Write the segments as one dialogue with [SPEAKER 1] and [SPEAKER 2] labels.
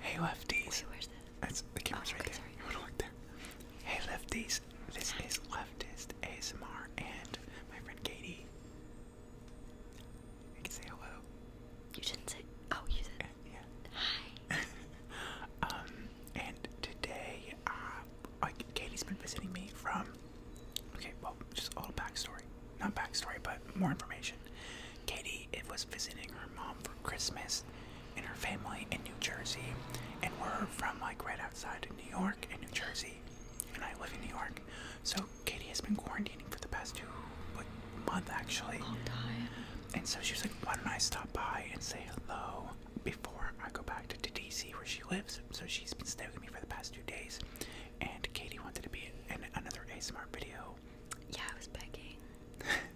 [SPEAKER 1] Hey lefties. That's the camera's oh, right there. You wanna look there? Hey lefties. This is leftist ASMR and my friend Katie. You can say hello. You didn't say oh you said uh, yeah. Hi. um and today uh Katie's been visiting me from okay, well just a little backstory. Not backstory, but more information. Katie it was visiting her mom for Christmas and her family in New Jersey, and we're from like right outside of New York and New Jersey, and I live in New York. So Katie has been quarantining for the past two month actually. And so she was like, why don't I stop by and say hello before I go back to DC where she lives? So she's been staying with me for the past two days, and Katie wanted to be in another ASMR video yeah, I was begging.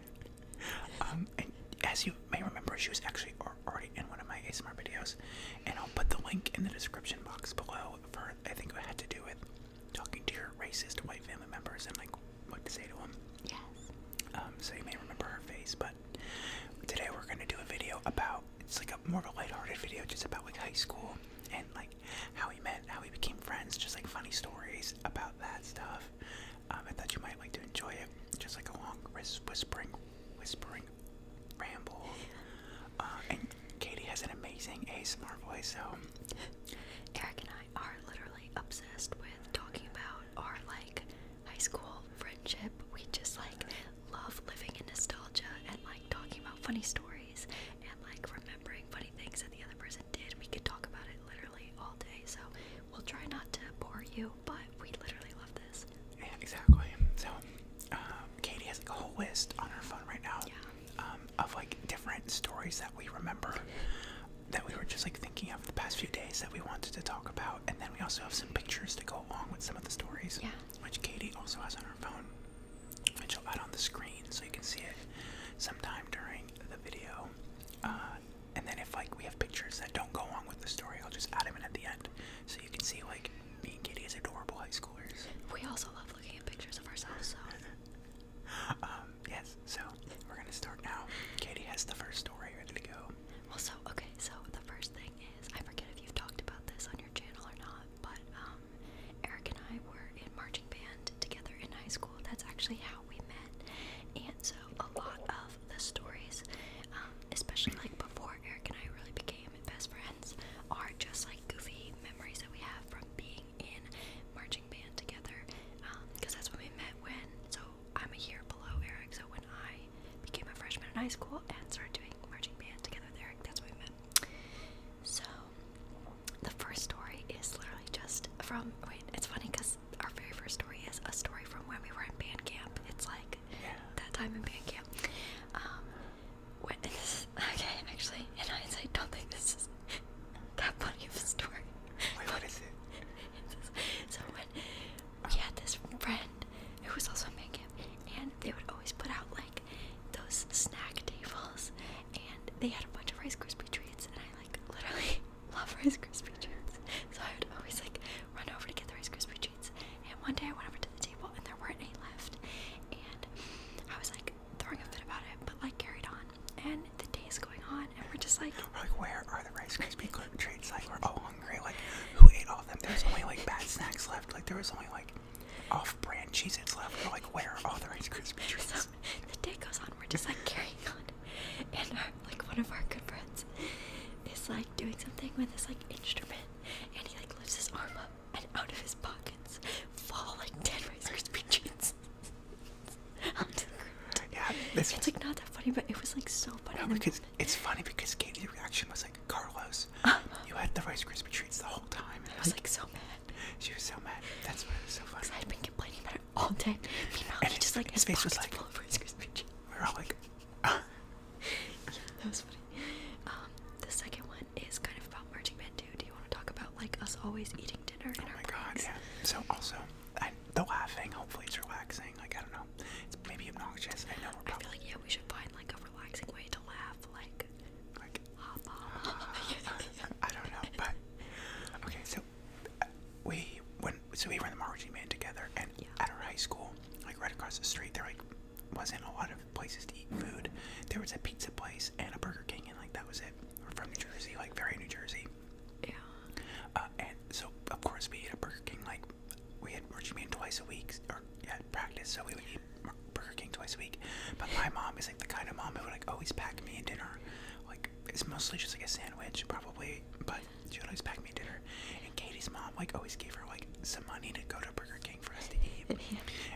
[SPEAKER 1] um, as you may remember, she was actually already in one of my ASMR videos, and I'll put the link in the description box below for I think it had to do with talking to your racist white family members and like what to say to them. Yes. Um, so you may remember her face, but today we're gonna do a video about it's like a more of a lighthearted video, just about like high school and like how we met, how we became friends, just like funny stories about that stuff. Um, I thought you might like to enjoy it. Just like a long whispering, whispering ramble. Uh, and Katie has an amazing a smart voice, so. Eric and I are literally obsessed with talking about our like high
[SPEAKER 2] school friendship. We just like love living in nostalgia and like talking about funny stories and like remembering funny things that the other person did. We could talk about it literally all day, so we'll try not to bore you, but
[SPEAKER 1] we literally love this. Yeah, exactly. So, um, Katie has a whole list on her phone right now um, of like different stories that we remember that we were just like thinking of the past few days that we wanted to talk about, and then we also have some pictures to go along with some of the stories, which Katie also has on her phone, which I'll add on the screen so you can see it sometime during the video. Uh, and then if like we have pictures that don't go along with the story, I'll just add them in at the end, so you can see like me and Katie as adorable high schoolers. We also love looking at pictures of ourselves. So. Um, yes. So we're gonna start now. Katie has the first story ready to go. Well, so okay. So the first thing is I forget if you've talked about
[SPEAKER 2] this on your channel or not, but um, Eric and I were in marching band together in high school. That's actually how we met. And so a lot of the stories, um, especially like before Eric and I really became best friends, are just like goofy memories that we have from being in marching band together. Because um, that's when we met when, so I'm a year below Eric, so when I became a freshman in high school and started doing marching band together Eric, that's when we met. So the first story is literally just from, wait, it's funny because our very first story is a story from when we were in band camp. It's like that time in band camp. Um, okay, actually, in I don't think this is that funny of a story. Wait, what is it? so when we had this friend who was also in band camp, and they would always put out like those snack tables, and they had a bunch of Rice Krispie treats, and I like literally love Rice Krispie treats. So I would always like run over to get the Rice Krispie treats. And one day I went over to the table and there weren't any left. And I was like throwing a fit about it, but like carried on. And
[SPEAKER 1] the day is going on and we're just like where are the Rice Krispie treats? Like we're all hungry. Like who ate all of them? There's only like bad snacks left. Like there was only like off brand Cheez left. We're like where are all the Rice Krispie treats? the day goes on we're just like carrying on.
[SPEAKER 2] And our, like one of our good friends is like doing something with this like instrument and he like lifts his arm up and out of his pockets fall like 10 Rice Krispie treats
[SPEAKER 1] Yeah, this it's like not that funny, but it was like so funny. No, because it's funny because Katie's reaction was like, Carlos, uh-huh. you had the Rice Krispie treats the whole time. And I was like, so mad. She was so mad. That's why it was so funny. I'd been complaining about all day. and he just like his, face was like We were all like, uh.
[SPEAKER 2] yeah, that was funny. Um, the second one is kind of about marching band too. Do you want to talk about like us always eating
[SPEAKER 1] dinner? oh my god, yeah. So also, the laughing. Hopefully, it's relaxing. Like I don't know, it's maybe obnoxious. I know. We're I feel like yeah, we should find like a relaxing way to laugh. Like, I don't know, but okay. So we when so we ran the marching band together, and at our high school, like right across the street, there like wasn't a lot of places to eat food. There was a pizza place and a Burger King, and like that was it. We're from New Jersey, like very New Jersey. Yeah. Uh, and so of course we ate a Burger King. Like we had marching band twice a week, or yeah, practice. So we would eat Burger King twice a week. But my mom is like the kind of mom who would like always pack me a dinner, like it's mostly just like a sandwich, probably. But she would always pack me dinner, and Katie's mom like always gave her like some money to go to Burger King for us to eat.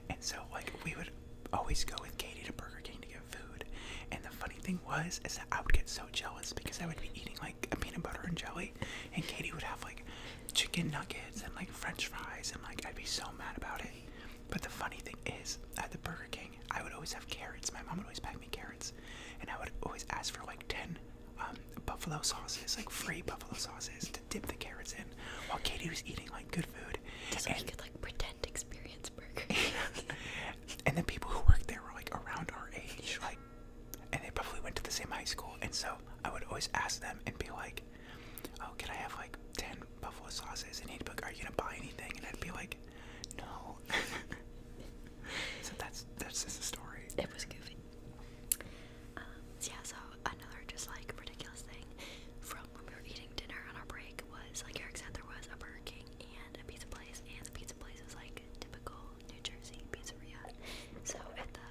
[SPEAKER 1] And so like we would always go with Katie to Burger King to get food. And the funny thing was is that I would get so jealous because I would be eating like a peanut butter and jelly, and Katie would have like chicken nuggets and like French fries, and like I'd be so mad about it. But the funny thing is, at the Burger King, I would always have carrots. My mom would always pack me carrots and I would always ask for like ten um, buffalo sauces, like free buffalo sauces, to dip the carrots in, while Katie was eating like good food. That's and, could like pretend experience burger. and the people who worked there were like around our age, like, and they probably went to the same high school, and so I would always ask them and be like, "Oh, can I have like ten buffalo sauces?" And he'd be "Are you gonna buy anything?" And I'd be like. No. so that's that's just a story. It was goofy. Um, yeah, so
[SPEAKER 2] another just like ridiculous thing from when we were eating dinner on our break was like Eric said there was a Burger King and a pizza place and the pizza place was like typical New Jersey pizzeria. So at the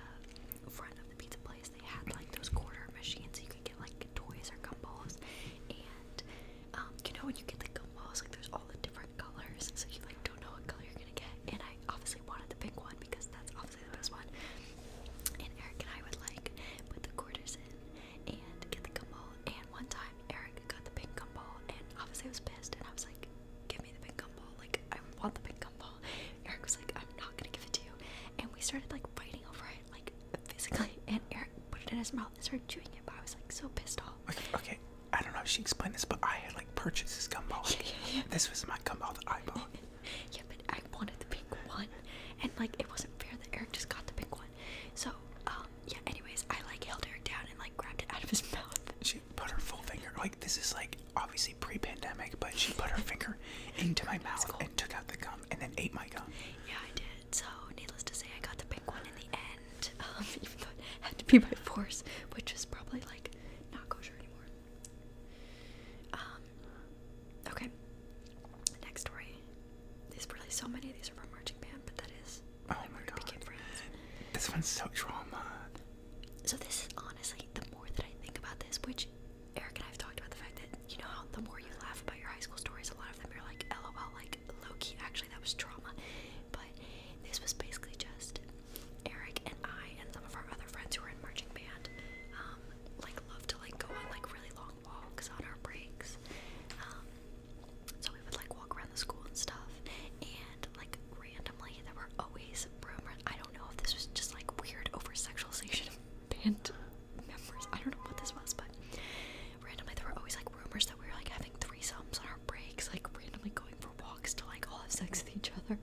[SPEAKER 2] front of the pizza place they had like those quarter machines you could get like toys or gumballs and um, you know when you get the gum balls, like there's all the different colors, so you like don't know what color you're gonna get. And I obviously wanted the pink one because that's obviously the best one. And Eric and I would like put the quarters in and get the gum ball. And one time Eric got the pink gum ball, and obviously I was pissed, and I was like, "Give me the pink gum ball! Like I want the pink gum ball." Eric was like, "I'm not gonna give it to you," and we started like fighting over it, like physically. And Eric put it in his mouth and started chewing it, but I was like
[SPEAKER 1] so pissed off. Okay, okay, I don't know if she explained this, but I had like purchased this gumball. Yeah, yeah, yeah. This was my gumball that I bought. yeah, but I wanted the pink one, and like it wasn't fair that
[SPEAKER 2] Eric just got the pink one. So, um, yeah. Anyways, I like held Eric down and like grabbed it out of his
[SPEAKER 1] mouth. She put her full finger. Like this is like obviously pre-pandemic, but she put her finger into my mouth cool. and took out the gum and then ate my gum. Yeah, I did. So, needless to say, I
[SPEAKER 2] got the pink one in the end and um, even though it had to be by force, which is probably like not kosher anymore. Um, okay, next story. These really so many these are from marching band, but that is oh my god, became friends. This one's so trauma. So this is honestly the more that I think about this, which Eric and I have talked about the fact that you know how the more you laugh about your high school stories, a lot of them you're like, lol, like low-key actually that was trauma but this was basically just Eric and I and some of our other friends who were in marching band um like love to like go on like really long walks on our breaks um so we would like walk around the school and stuff and like randomly there were always rumors I don't know if this was just like weird over sexualization of band members I don't know what this was but randomly there were always like rumors that we were like having three sums on our breaks, like randomly going for walks to like all have sex with each other,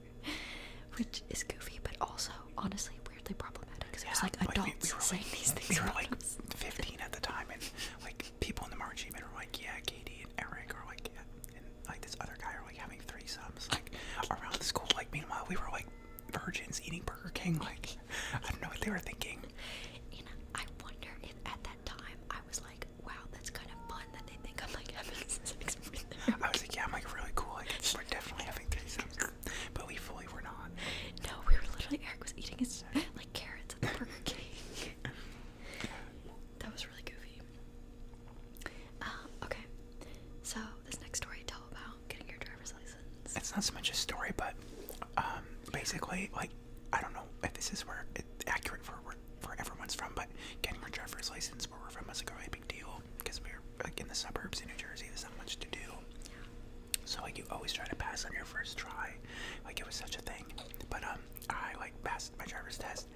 [SPEAKER 2] which is goofy, but also
[SPEAKER 1] honestly weirdly problematic because yeah, like adults saying these things. We were like 15 at the time, and like people in the March even were like, yeah, Katie and Eric are like, and like this other guy are like having three sums like around the school. Like meanwhile, we were like virgins eating Burger King. Like I don't know what they were thinking. And I wonder if at that time I was like, wow, that's kind of fun that they think I'm like having sex with I was like, yeah, I'm like really cool. Like, we're definitely having threesomes, but we fully were not. No, we were literally Eric was eating
[SPEAKER 2] his like carrots at the Burger King. that was really goofy.
[SPEAKER 1] Um, okay,
[SPEAKER 2] so this next story tell about
[SPEAKER 1] getting your driver's license. It's not so much a story, but um, basically, like, I don't know if this is where it, accurate for where, where everyone's from, but getting our driver's license where we're from was like a really big deal because we were like in the suburbs in New Jersey. There's not much to do, so like you always try to pass on your first try. Like it was such a thing. But um, I like passed my driver's test,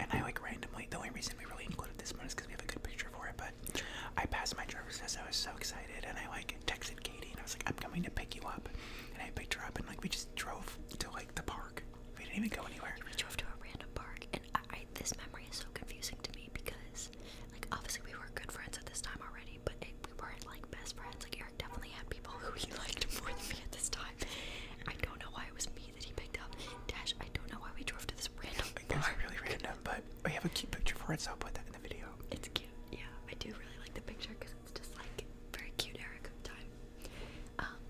[SPEAKER 1] and I like randomly. The only reason we really included this one is because we have a good picture for it. But I passed my driver's test. I was so excited, and I like texted Katie, and I was like, "I'm coming to pick you up." and I picked her up and like we just drove to like the park. We didn't even go anywhere. We drove to a random
[SPEAKER 2] park, and I, I, this memory is so confusing to me because, like, obviously we were good friends at this time already, but we weren't like best friends. Like Eric definitely had people who he liked more than me at this time. I don't know why it was me that he picked up. Dash, I don't know why we drove to this random. It was
[SPEAKER 1] really random, but we have a cute picture for it, so I'll put that in the video. It's cute. Yeah, I do really like the picture because just like very cute era time.
[SPEAKER 2] Um,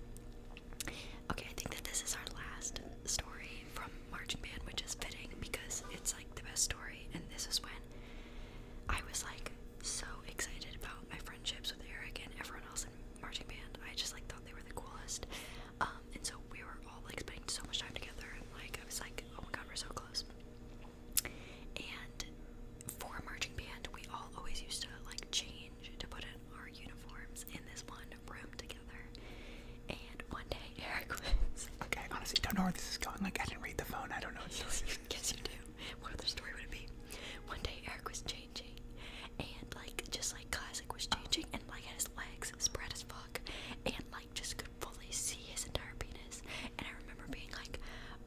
[SPEAKER 2] okay, I think that this is our last story from Marching Band, which is fitting because it's like the best story. And this is when I was like so excited about my friendships with Eric and everyone else in Marching Band. I just like thought they were the coolest. Um, and so we were all like spending so much time together, and like I was like, oh my god, we're so close. And for marching band, we all always used to like change to put in our uniforms in this one room together. And one day, Eric was. Okay, honestly, don't know where this is going. Like, I didn't read the phone. I don't know Yes, you do. What other story would it be? One day, Eric was changing, and like, just like Classic was changing, and like, had his legs spread as fuck, and like, just could fully see his entire penis. And I remember being like,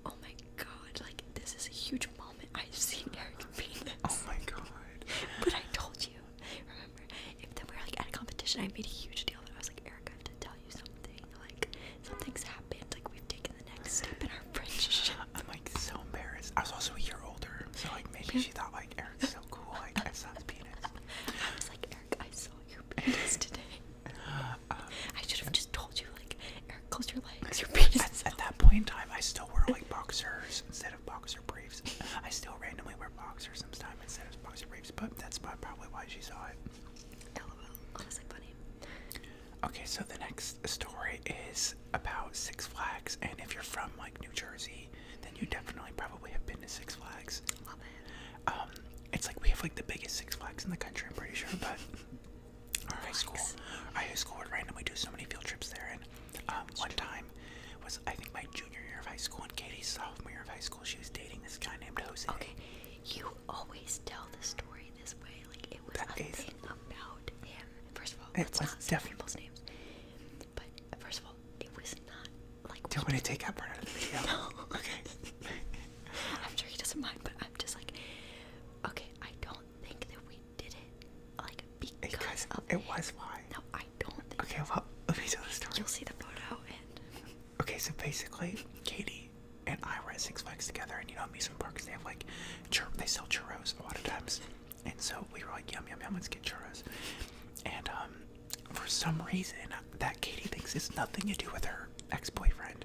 [SPEAKER 2] oh my god, like this is a huge moment. I've seen Eric beat this. Oh my god. but I told you, remember,
[SPEAKER 1] if then we are like at a competition, I made a huge deal that I was like, Eric, I have to tell you something. Like something's happened, like we've taken the next step in our friendship. I'm like so embarrassed. I was also a year older, so like maybe she thought like Eric's so cool, like I saw his penis. I was like, Eric, I saw your penis today. Uh, I should have just told you, like, close your legs. Your penis. At, at that point in time, I still wear like boxers instead of boxer briefs. I still randomly wear boxers sometimes instead of boxer briefs, but that's probably why she saw it. LOL. Honestly, funny. Okay, so the next story is about Six Flags, and if you're from like New Jersey, then you definitely probably have been to Six Flags. Um, it's like we have like the biggest Six Flags in the country. I'm pretty sure, but our high school. Our high school would randomly do so many field trips there, and um, one time was I think my junior year of high school, and Katie's sophomore year of high school. She was dating this guy named Jose. Okay, you always tell the story this way. Like it was that about him. First of all, it's it let's was not say people's names.
[SPEAKER 2] But first of all, it was not like. Do you want me to take that part out of the video? no. Okay. I'm sure he doesn't mind, but I'm just like, okay, I don't think that we did it like because it
[SPEAKER 1] was why. No, I don't Okay, well let me tell the story. You'll see the photo and Okay, so basically Katie and I were at Six Flags together and you know amusement parks they have like they sell churros a lot of times. And so we were like, yum yum yum, let's get churros. And um for some reason that Katie thinks it's nothing to do with her ex-boyfriend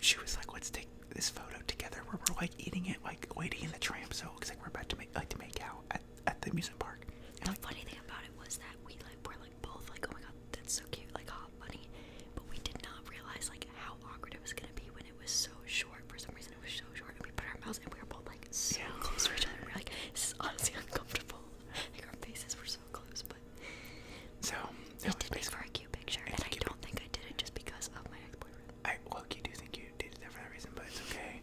[SPEAKER 1] she was like, let's take this photo together we're like eating it, like waiting in the tram. So it looks like we're about to make like to make out at, at the amusement park. And like, funny thing about it was that we like
[SPEAKER 2] were like both like, oh my god, that's so cute, like hot bunny. But we did not realize like how awkward it was gonna be when it was so short. For some reason, it was so short, and we put our mouths and we were both like so close to each other. We we're like, this is honestly uncomfortable. Like our faces were so close, but so it, it did make for a cute picture, and I don't think I did it just because of my exploit. I look, you do think you did it there for that reason, but it's okay.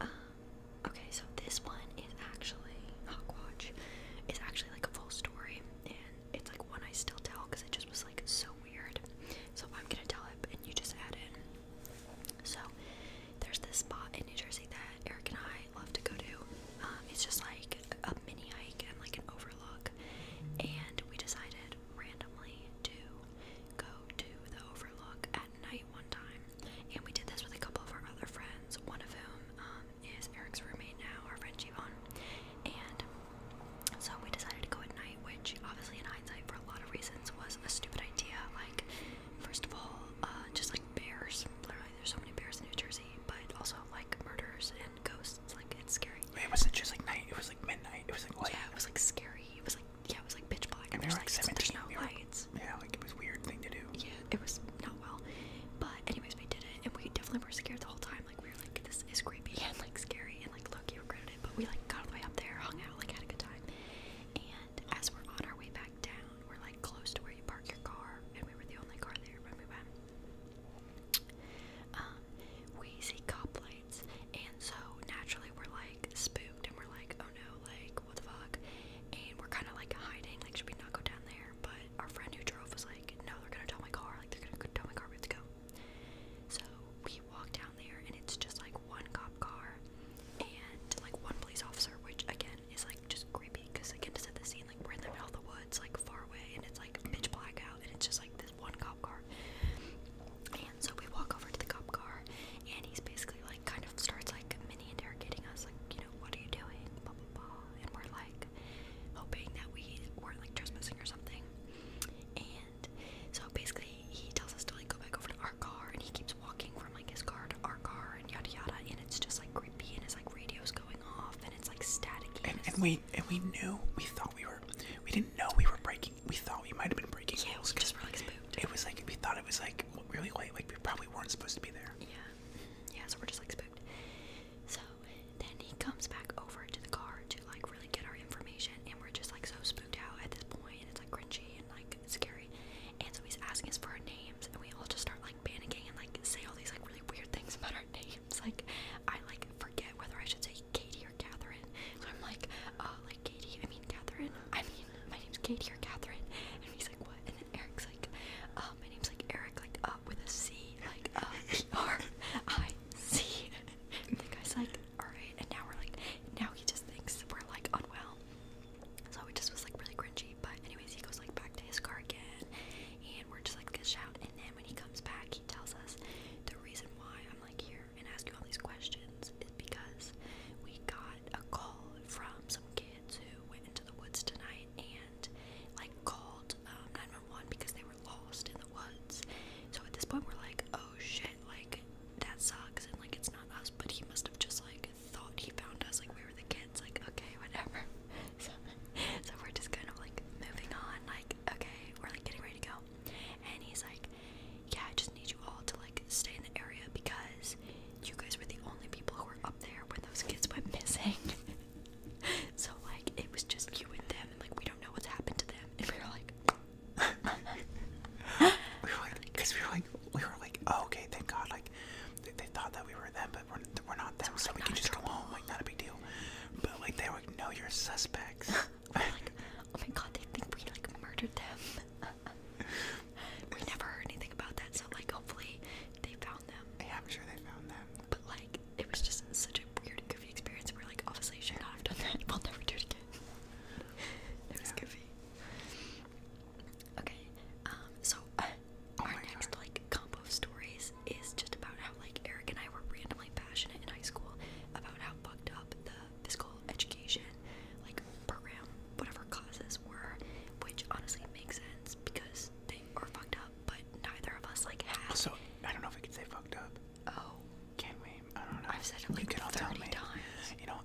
[SPEAKER 2] Um, okay, so this one is actually Hawkwatch. It's actually like a full story, and it's like one I still tell because it just was like so weird. So I'm gonna tell it, and you just add in. So there's this spot in New Jersey that Eric and I love to go to. Um, it's just like a mini hike and like an overlook, and we decided randomly to go to the Overlook at night one time, and we did this with a couple of our other friends, one of whom um, is Eric's roommate now, our friend Yvonne, and so we decided to go at night, which obviously in hindsight for a lot of reasons was a stupid idea, like first of all, uh, just like bears, literally there's so many bears in New Jersey, but also like murders and ghosts it wasn't just like night. It was like midnight. It was like light. yeah. It was like scary. It was like yeah. It was like pitch black. And, and there's like, like there's
[SPEAKER 1] no lights. yeah, like it was weird thing to do. Yeah, it was not well. But
[SPEAKER 2] anyways, we did it, and we definitely were scared the whole time. Like we were like, this is creepy and like scary, and like look, you regretted it. But we like got all the way up there, hung out, like had a good time. And as we're on our way back down, we're like close to where you park your car, and we were the only car there when we went. Um, wheezy coplights, and so naturally we're like spooked and we're like, oh no, like what the fuck, and we're kind of like hiding, like should we not go down there? But our friend who drove was like, no, they're gonna tell my car, like they're gonna tell my car, we to go. So we walk down there, and it's just like one cop car and like one police officer, which again is like just creepy because again to set the scene, like we're in the middle of the woods, like far away, and it's like pitch black out, and it's just like this one cop car. And so we walk over to the cop car, and he's basically like kind of starts like mini interrogating us, like, you know, what are you doing? Blah blah blah. And we're like hoping that we weren't like trespassing or something. And so basically, he tells us to like go back over to our car, and he keeps walking from like his car to our car, and yada yada. And it's just like creepy, and his like radio's going off, and it's like static.
[SPEAKER 1] and we and we knew we thought we were we didn't know we were breaking we thought we might have been breaking yeah, rules. because It was like we thought it was like really late. Like we probably weren't supposed to be there. Yeah, yeah. So we're just like spooked. So then he comes back over to
[SPEAKER 2] the car to like really get our information, and we're just like so spooked out at this point. And it's like cringy and like scary. And so he's asking us for our names, and we all just start like panicking and like say all these like really weird things about our names. Like I like forget whether I should say Katie Katie Catherine. So I'm like, oh, like Katie, I mean Catherine. I mean, my name's Katie or Catherine. And he's like, what? And then Eric's like, uh, my name's like Eric, like uh, with a C, like uh, E-R-I-C. And the guy's like, alright. And now we're like, now he just thinks we're like unwell. So it just was like really cringy. But anyways, he goes like back to his car again, and we're just like good shout. And then when he comes back, he tells us the reason why I'm like here here and ask you all these questions is because we got a call from some kids who went into the woods tonight and like called um, 911 because they were lost in the woods. So at this point, we're like, oh shit, like that sucks, and like it's not us, but he must have just like thought he found us, like we were the kids, like okay, whatever. So, so we're just kind of like moving on, like okay, we're like getting ready to go. And he's like, Yeah, I just need you all to like stay in the area because you guys were the only people who were up there when those kids went missing. so like it was just you and them and like we don't know what's happened to them and we were like
[SPEAKER 1] we were like, cause we were like, we were like, oh, okay, thank God, like, they, thought that we were them, but we're, we're not them, so, we can just go home, like, not a big deal. But like, they were like, no, you suspects. like, oh my god, they think we
[SPEAKER 2] like murdered
[SPEAKER 1] them.
[SPEAKER 2] we never heard anything about that, so like, hopefully they found them. Yeah, I'm sure
[SPEAKER 1] they found them. But like,
[SPEAKER 2] it was just such a weird and goofy experience. We're like, obviously, should not have done that. We'll never do it again. it was yeah. goofy. Okay, um, so oh our next like combo of stories is just about how like Eric and I were randomly passionate in high school about how fucked up the physical education like program, whatever causes were, which honestly makes sense
[SPEAKER 1] because they are fucked up, but neither of us like have. I don't know if we could say fucked up. Oh, can we? I don't know. I've said it like you times. You know,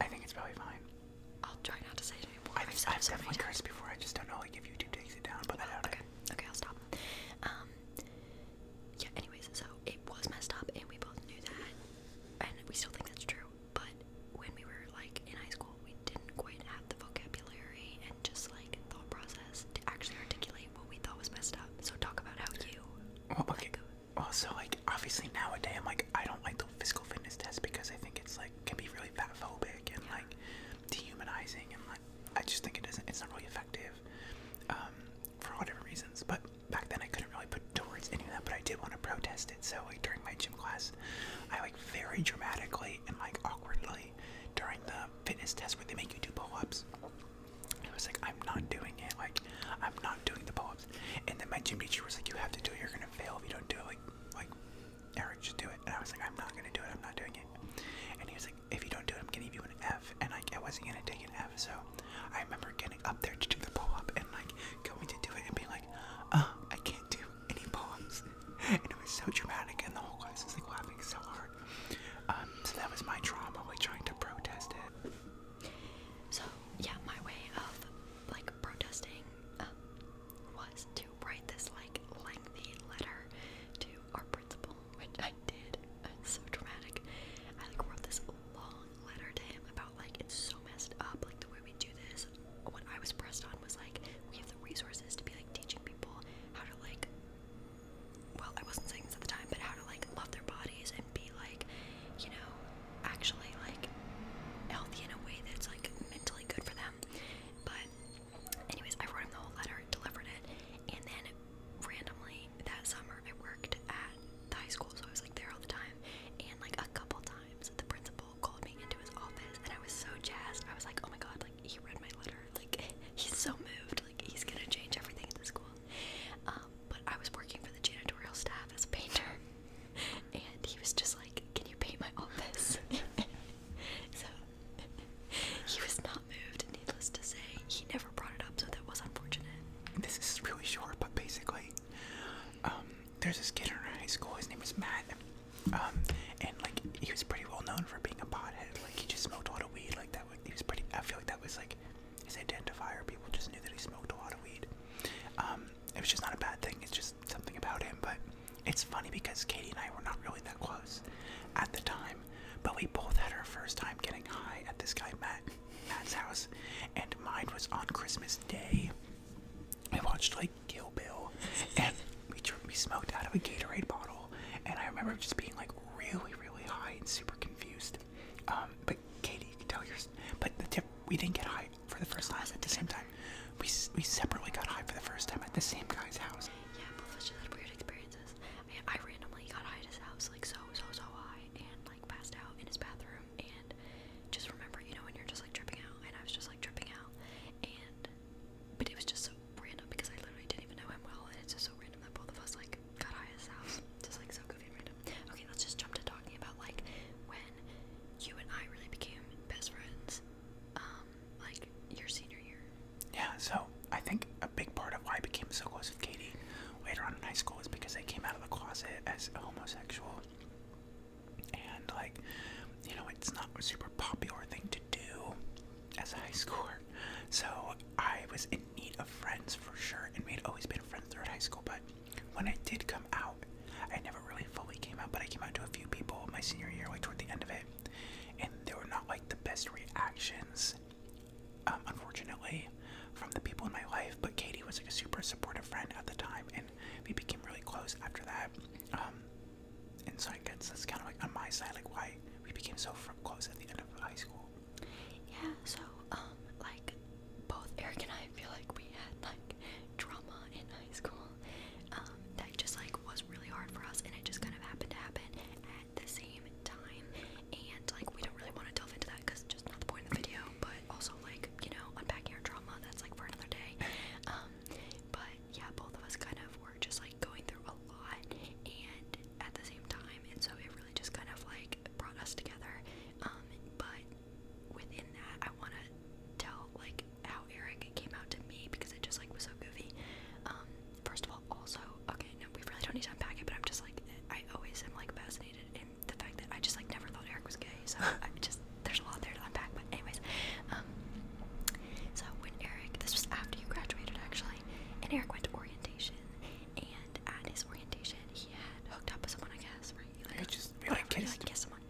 [SPEAKER 1] I think it's probably fine. I'll try not to say it anymore. I think, I've, said I've it so definitely cursed before. I just don't know like if YouTube takes it down,
[SPEAKER 2] but well, I doubt okay. Okay, I'll stop. Um, yeah, anyways, so it was messed up, and we both knew that, and we still think that's true. But when we were like in high school, we didn't quite have the vocabulary and just like thought process to actually articulate
[SPEAKER 1] what we thought was messed up. So talk about how you. Well, okay. Oh, so like obviously nowadays, I'm like I don't like the physical fitness test because I think it's like can be really fat phobic and like dehumanizing and like I just think it doesn't. It's not really effective um, for all different reasons. But back then I couldn't really put towards any of that, but I did want to protest it. So like during my gym class, I like very dramatically and like awkwardly during the fitness test where they make you do pull-ups. I was like, I'm not doing it. Like, I'm not doing the pull-ups. And then my gym teacher was like, you have to do it. You're gonna fail if you don't do it. Like, Eric, just do it. And I was like, I'm not gonna do it. I'm not doing it. And he was like, if you don't do it, I'm gonna give you an F. And like, I wasn't gonna take an F. So I remember getting up there to do the pull up and like going to do it and being like, uh, I can't do any pull ups. and it was so dramatic, and the whole class was like laughing so hard. Um, so that was my trauma, like trying to protest it. So, yeah, my way of like protesting uh,
[SPEAKER 2] was to write this like lengthy letter to our principal, which I did. It's so dramatic. I like wrote this long letter to him about like it's so messed up, like the way we do this. What I was pressed on was like we have the resources to be like teaching people how to like well, I wasn't saying this at the time, but how to like love their bodies and be like, you know, actually like healthy in a way that's like mentally good for them. But anyways, I wrote him the whole letter, delivered it, and then randomly that summer I worked at the high school, so I was like there all the time. And like a couple times, the principal called me into his office, and I was so jazzed. I was like, oh my god, like he read my letter. Like he's so moved. Like he's gonna change everything at the school. Um, but I was working for the janitorial staff as a painter, and he was just like, can you paint my office? so
[SPEAKER 1] he was not moved. Needless to say, he never this is really short, but basically, um, there's this kid in our high school. His name was Matt, um, and like he was pretty well known for being a pothead. Like he just smoked a lot of weed. Like that, was, he was pretty. I feel like that was like his identifier. People just knew that he smoked a lot of weed. Um, it was just not a bad thing. It's just something about him. But it's funny because Katie and I were not really that close at the time, but we both had our first time getting high at this guy Matt. Matt's house, and mine was on Christmas Day. I watched like Kill Bill, and we we smoked out of a Gatorade bottle, and I remember just being like really, really high and super confused. Um, but Katie, you can tell yours. But the tip, we didn't get high for the first time at the same time. We we separately got high for the first time at the same guy's house. Yeah, both of weird experiences. I, I randomly got high at his house, like
[SPEAKER 2] so, so, so high, and like passed out in his bathroom and just remember, you know, when you're just like tripping out and I was just like tripping out and but it was just so random because I literally didn't even know him well and it's just so random that both of us like got high as house. Just like so goofy and random. Okay, let's just jump to talking about like when you and I really became best friends.
[SPEAKER 1] Um, like your senior year. Yeah, so I think a big part of why I became so close with Katie later on in high school is because they came out of the closet as homosexual. And, like, you know, it's not a super popular thing to do as a high schooler. So I was in need of friends for sure, and we'd always been friends throughout high school. But when I did come out, I never really fully came out, but I came out to a few people my senior year, like toward the end of it. And they were not like the best reactions um, unfortunately, from the people in my life. But Katie was like a super supportive friend at the time, and we became really close after that. Um, and so I guess that's kind of like on my side, like why we became so close at the end of high school. Yeah. So, um, like both Eric and I feel like we had like drama
[SPEAKER 2] in high school. Um, that just like was really hard for us, and it just kind of happened to happen at the same time. And like we don't really want to delve into that because not the point of the video, but also like, you know, unpacking our trauma, that's like for another day. Um, but yeah, both of us kind of were just like going through a lot and at the same time, and so it really just kind of like brought us together. Um, but within that, I want to tell like how Eric came out to me because it just like was so goofy. Um, first of all, also, okay, no, we really don't need to unpack it, but I'm just like, I always am like fascinated in the fact that I just like never thought Eric was gay. So I just there's a lot there to unpack. But anyways, um, so when Eric, this was after you graduated actually, and Eric went to orientation, and at his orientation he had hooked up with someone, I guess, right? You, like, I just whatever, someone.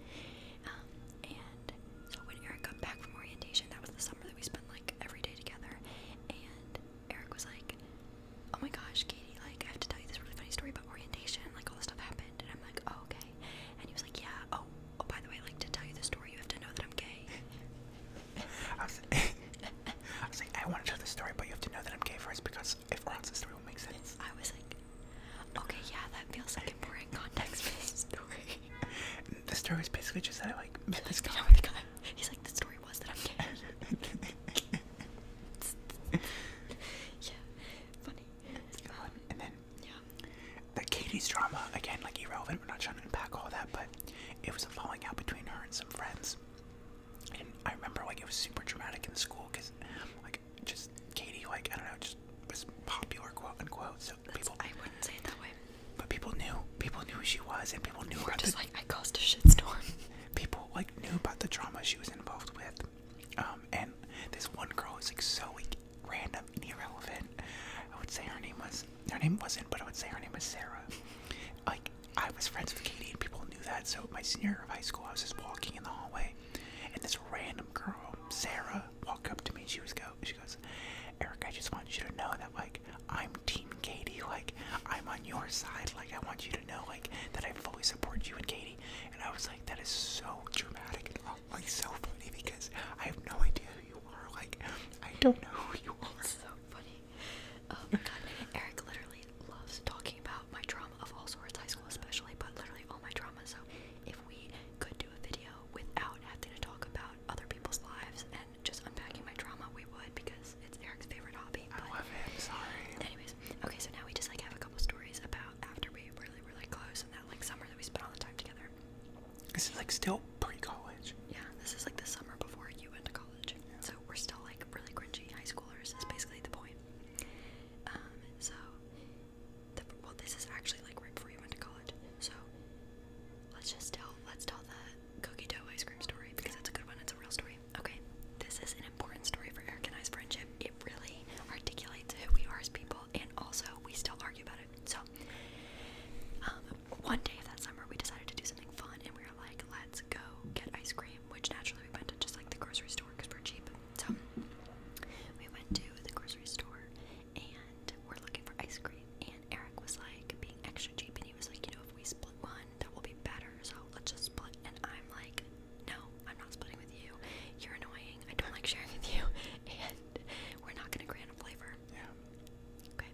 [SPEAKER 2] Um, and so when Eric got back from orientation, that was the summer that we spent like every day together, and Eric was like, "Oh my gosh, Katie, like I have to tell you this really funny story about orientation. Like all this stuff happened." And I'm like, oh, okay."
[SPEAKER 1] And he was like, "Yeah. Oh, oh, by the way, like to tell you the story, you have to know that I'm gay." I was, like, "I want to tell the story, but you have to know that I'm gay first because if or else the story will not make sense." I was like, "Okay, yeah, that feels like important context for this story." the story is basically just that like met this guy. You know, guy. He's like, "The story was that I'm gay." yeah, funny. Um, and then yeah, the Katie's drama again, like irrelevant. We're not trying to unpack all that, but it was a falling out between her and some friends. And I remember like it was super dramatic in school because like just Katie, like I don't know, just was popular, quote unquote. So people, I wouldn't say it that way. But people knew, people knew who she was, and people knew her. Just like I caused a shitstorm. people like knew about the drama she was involved with. Um, and this one girl was like so like, random and irrelevant. I would say her name was her name wasn't, but I would say her name was Sarah. Like I was friends with Katie and people knew that. So my senior year of high school, I was just walking in the hallway, and this random girl, Sarah, walked up to me. she was go, she goes, Eric, I just want you to know that like I'm Team Katie. Like I'm on your side. Like I want you to you know like that I fully support you and Katie. And I was like, that is so dramatic and all, like so funny because I have no idea who you are. Like I don't know who you are. so funny. Oh my god.
[SPEAKER 2] Eric literally loves talking about my trauma of all sorts, high school especially, but literally all my trauma. So if we could do a video without having to talk about other people's lives and just unpacking my trauma, we would because it's Eric's favorite hobby. I love it. Sorry. Anyways, okay, so now we just like have a couple stories about after we were really, really close and that like summer that we spent all the time together. This is like still pre-college. Yeah, this is like the summer before you went to college. Yeah. So we're still like really cringy high schoolers. Is basically the point. Um, so, well, this is actually like right before you went to college. So, let's just tell let's tell the cookie dough ice cream story because that's a good one. It's a real story. Okay, this is an important story for Eric and I's friendship. It really articulates who we are as people, and also we still argue about it. So, um, one day of that summer, we decided to do something fun, and we were like, let's go get ice cream, which naturally we went to just like the grocery store because we're cheap. So, we went to the grocery store and we're looking for ice cream. And Eric was like being extra cheap, and he was like, you know, if we split one, that will be better. So let's just split. And I'm like, no, I'm not splitting with you. You're annoying. I don't like sharing with you, and we're not gonna grant a flavor. Yeah. Okay.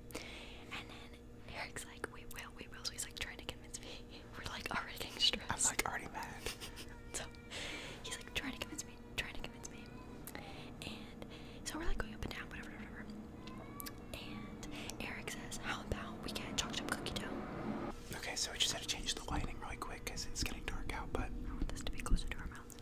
[SPEAKER 2] And then Eric's like, we will, we will. So he's like trying to convince me. We're like already getting stressed. I'm like already mad. so he's like trying to convince me, trying to convince me, and so we're
[SPEAKER 1] like going up and down, whatever, whatever. And Eric says, how about we get chocolate chip cookie dough? Okay, so we just had to change the lighting really quick because it's getting dark out, but I want this to be closer to our mouth.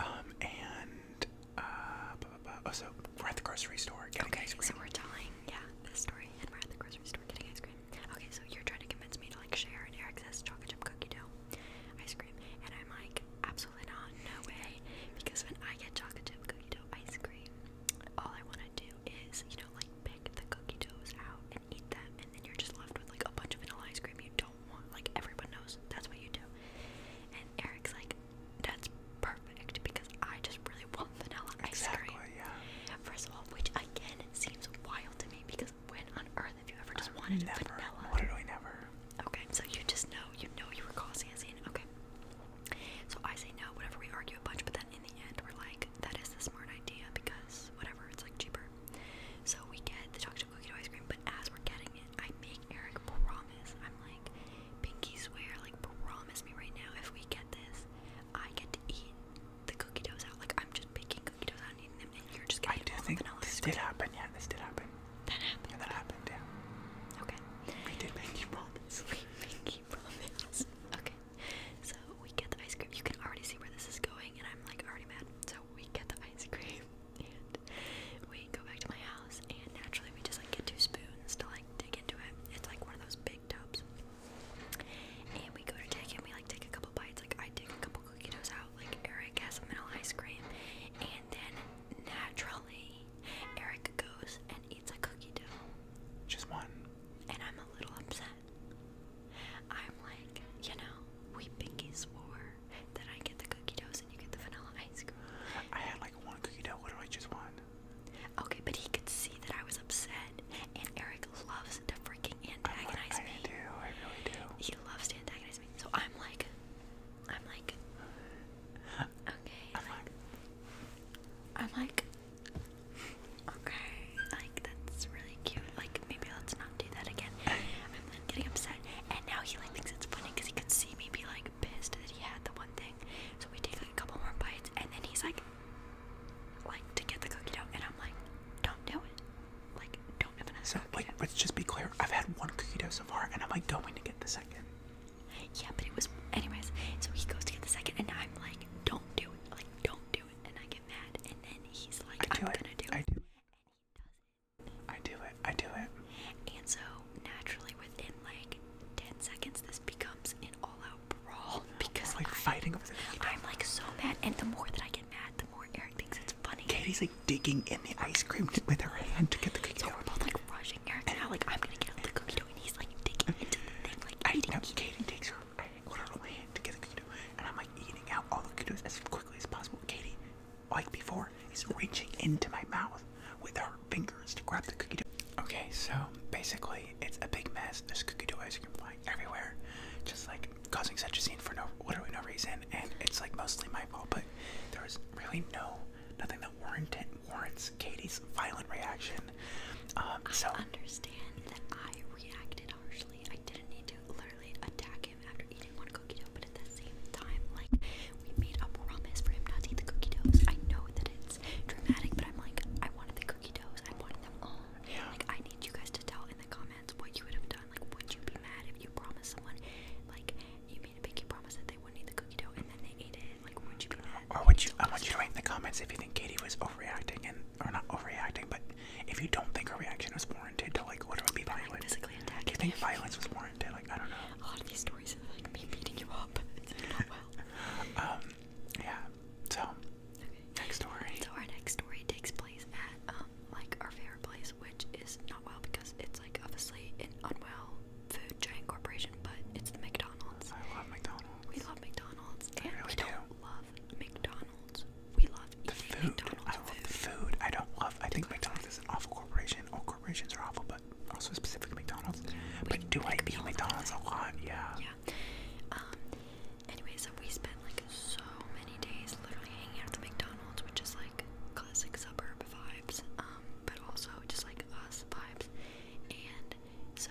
[SPEAKER 1] Um, and uh, oh, so we're at the grocery store getting okay, ice cream. so we're telling, yeah, this story,
[SPEAKER 2] and we're at the grocery store getting ice cream. Okay, so you're trying to convince me to like share an Eric chocolate chip cookie dough ice cream, and I'm like, absolutely not, no way, because when I get chocolate chip cookie dough ice cream, all I want to do is, you know, like pick the cookie doughs out and eat them, and then you're just left with like a bunch of vanilla ice cream you don't want. Like everyone knows that's what you do. And Eric's like, that's perfect because I just really want vanilla ice exactly, cream. Yeah. First of all, which again seems wild to me because when on earth have you ever just I've uh, wanted never, vanilla? Literally never. Okay, so you just know, you know you were causing a scene. Okay. So I say no, whatever, we argue a bunch, but then in the end we're like, that is the smart idea because whatever, it's like cheaper. So we get the chocolate cookie dough ice cream, but as we're getting it, I make Eric promise. I'm like, pinky swear, like promise me right now if
[SPEAKER 1] we get this, I get to eat the cookie doughs out. Like I'm just picking cookie doughs out and eating them, and you're just getting I do think the this did happen. Yeah, this did happen. That happened. Yeah, that happened. Yeah. Okay. We did make you promise. pinky cookie promise. Okay,
[SPEAKER 2] so we get the ice cream. You can already see where this is going, and I'm like already mad. So we get the ice cream, and we go back to my house, and naturally we just like get two spoons to like dig into it. It's like one of those big tubs, and we go to take it. And we like take a couple bites. Like I take a couple cookie doughs out. Like Eric has some vanilla ice cream, and then naturally Eric goes and eats a cookie dough. Just one. And I'm a little upset I'm like, you know, we pinky swore that I get the cookie doughs and you get the vanilla ice cream. I had like one cookie dough. What do I choose one? Okay, but he could see that I was upset, and Eric loves to freaking antagonize me. I do. I really do. He loves to antagonize me. So I'm like, I'm like, okay. I'm like, I'm like, Okay, like that's really cute. Like maybe let's not do that again. I'm then getting upset, and now he like thinks it's funny because he could see me be like pissed that he had the one thing. So we take a couple more bites, and then he's like,
[SPEAKER 1] like to get the cookie dough, and I'm like, don't do it. Like don't have another. So wait, dough. let's just be clear. I've had one cookie dough so far, and I'm like don't want to get the second. Yeah, but it was anyways. So he goes to get the second, and I'm like, don't do it. Like don't do
[SPEAKER 2] and I get mad, and then he's like, I do am it. gonna do I it. Do. I do it. I do it. And so naturally, within like ten seconds, this becomes an all-out brawl
[SPEAKER 1] because like fighting over the I'm like so mad, and the more that I get mad, the more Eric thinks it's funny. Katie's like digging in the ice cream with her hand to get the cookie. So dough. we're both like rushing Eric and now, like I'm gonna get out the cookie dough, and he's like digging into the thing, like I, eating. No, Katie takes her I ordered on and I'm like eating out all the ketos as quickly as possible. Katie, like before, is reaching into my mouth with her fingers to grab the cookie dough. Okay, so basically, it's a big mess. There's cookie dough ice cream flying everywhere, just like causing such a scene for no literally no reason. And it's like mostly my fault, but there was really no nothing that warranted warrants Katie's violent reaction. Um, so I understand that I reacted treated I didn't need to literally attack him after eating one cookie dough, but at the same time, like, we made a promise for him not to eat the cookie doughs. I know that it's dramatic, but I'm like, I wanted the cookie doughs. I wanted them all. Like, I need you guys to tell in the comments what you would have done. Like, would you be mad if you promised someone, like, you made a pinky promise that they wouldn't eat the cookie dough and then they ate it? Like, would you be mad? Or would you? I want you to write in the comments if you think Katie was overreacting and or not overreacting, but if you don't think her reaction was warranted to like what would be violent, physically attacking do you think violence was warranted? Like I don't know. A lot of these stories are like me beating you up. not well. um, yeah. So okay.
[SPEAKER 2] next story. So our next story takes place at um like our favorite place, which is not well because it's like obviously an unwell food giant corporation, but it's the McDonald's. I love McDonald's. We love
[SPEAKER 1] McDonald's. and we don't love McDonald's. We love the food. I love the food. I don't love. I think McDonald's is an awful corporation. All corporations are awful, but also specifically McDonald's. but do I eat McDonald's a lot? Yeah. Yeah.
[SPEAKER 2] Um. Anyway, so we spent like so many days literally hanging out at the McDonald's, which is like classic suburb vibes. Um. But also just like us vibes. And so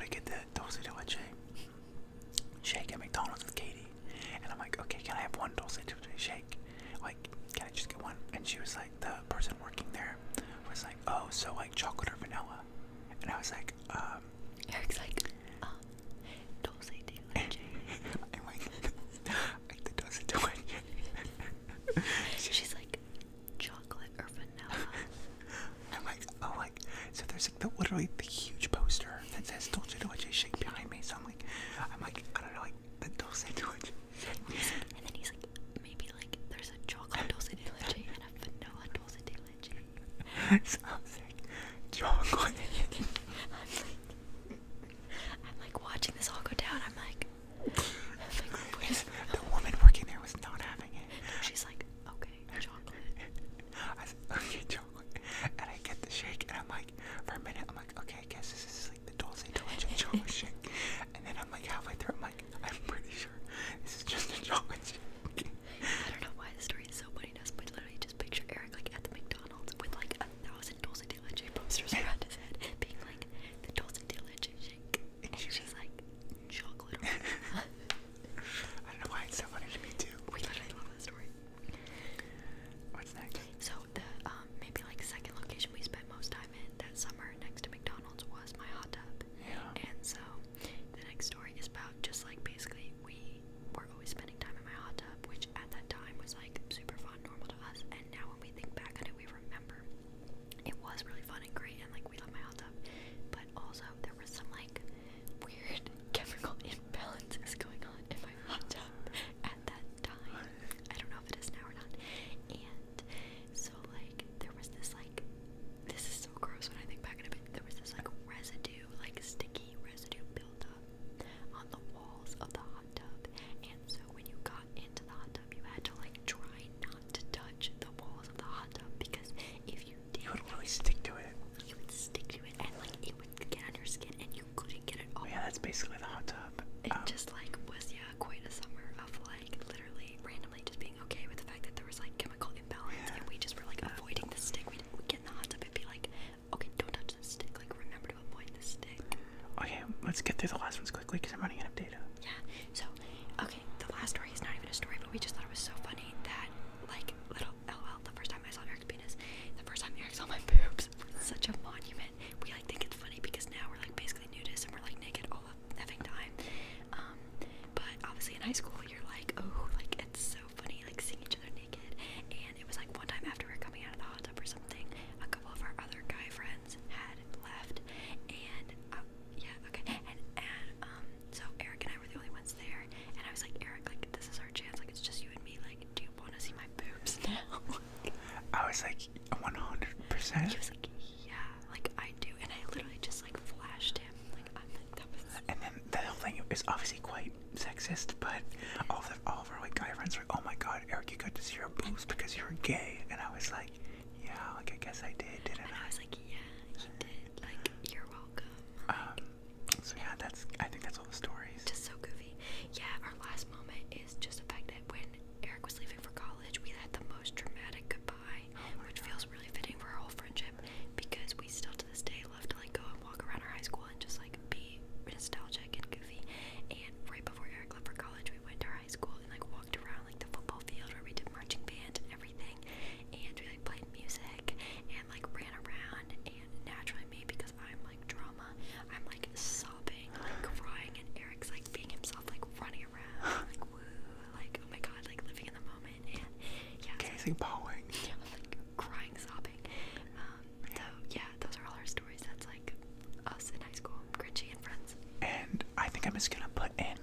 [SPEAKER 1] We get the dulce de leche shake at McDonald's with Katie, and I'm like, okay, can I have one dulce de leche shake? Like, can I just get one? And she was like, the person working there was like, oh, so like chocolate or vanilla? And I was like, um. Eric's like, uh, dulce de I'm like, like the dulce de She's like, chocolate or vanilla. I'm like, oh, like, so there's like the literally the huge poster that says Dolce Dolce shake behind me. So I'm like, I'm like, I don't know, like the Dolce Dolce. and then he's like, maybe like there's a chocolate Dolce de Leche and a vanilla Dolce
[SPEAKER 2] de Leche. so I'm like, chocolate. I'm like,
[SPEAKER 1] I'm like watching this all go down. I'm like, I'm like the woman working there was not having it. She's like, shake. Okay, chocolate. I said, okay, chocolate. And I get the shake, and I'm like, for a minute, I'm like, okay, I guess this is like the dulce de leche chocolate shake. And then I'm like halfway through, I'm like, I'm pretty sure this is just a chocolate shake.
[SPEAKER 2] I don't know why the story is so funny to us, but literally just picture Eric like at the McDonald's with like a thousand dulce de leche posters around his head, being like, the dulce de leche shake. And she like, chocolate. I don't know why it's so funny to me too. We literally love that story. What's next? So the um, maybe like second location we spent most time in that summer next to McDonald's was my hot tub. Yeah. And so the next story is about just like basically we were always spending time in my hot tub, which at that time was like super fun, normal to us. And now when we think back on it, we remember it was really fun and great and like we love my hot tub, but also there was some like weird chemical imbalances going on in my hot tub at that time. I don't know if it is now or not. And so like there was this like this is so gross when I think back in a bit. There was this like residue, like sticky residue built up on the walls of the hot tub. And so when you got into the hot tub, you had to like try not to touch the walls of the hot tub because if you you would really stick to it. You would stick to it, and like it would get on your skin, and you couldn't get it off. Yeah, that's basically the hot tub. It um, just like was yeah quite a summer of like literally randomly just being okay with the fact that there was like chemical imbalance, and we just were like avoiding the stick. We'd, we get in the hot tub and be like, okay, don't touch the stick. Like remember to avoid the stick. Okay, let's get through the last ones quickly because I'm running out of data. Yeah. So, okay the last story is not even a story, but we just thought it was so funny that, like, little oh, LOL, the first time I saw Eric's penis, the first time Eric saw my boobs, such a monument. We, like, think it's funny because now we're, like, basically nudists and we're, like, naked all the time. Um, but obviously in high school, you're like, oh, like, it's so funny, like, seeing each other naked. And it was, like, one time after we we're coming out of the hot tub or something, a couple of our other guy friends had left, and uh, yeah, okay. And and um so Eric and I were the only ones there and I was like, Eric, like this is our chance, like it's just you and me, like, do you wanna see my boobs now? I was like one hundred percent.
[SPEAKER 1] He was like, Yeah, like I do and I literally just like flashed him. Like I'm like that was And then the whole thing is obviously quite sexist, but all of the, all of our like guy friends were like, Oh my god, Eric, you got to see your boobs because you're gay and I was like yeah, like I guess I did, didn't I? I was like, yeah, did. Like, you're welcome. um, so yeah,
[SPEAKER 2] that's, I think that's all the stories. Just so goofy. Yeah, our last moment is just the fact that when Eric was leaving for college, we had the most dramatic goodbye, oh which feels really fitting for our whole friendship because we still to this day love to like go and walk around our high school and just like be nostalgic and goofy. And right before Eric left for college, we went to our high school and like walked around like the football field where we did marching band and everything and we like played music and like ran around and naturally me because I'm like drama, I'm like sobbing, like crying and Eric's like being himself, like running around, like woo, like oh my god, like living in the moment and yeah. Casey like, Boeing. Yeah, like crying, sobbing. Um so yeah, those are all our stories. That's like us in high school, Grinchy and friends.
[SPEAKER 1] And I think I'm just gonna put in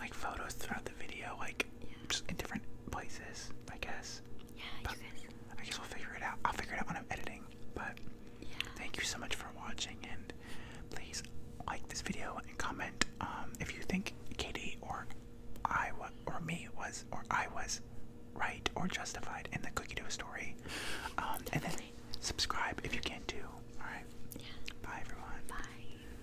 [SPEAKER 1] like photos throughout the video, like just in different places, I guess. Yeah, but you I guess we'll figure it out. I'll figure it out when I'm editing. But yeah. thank you so much for watching, and please like this video and comment um, if you think Katie or I or me was or I was right or justified in the cookie dough story. Um, and then subscribe if you can do. All right. Yeah. Bye everyone. Bye.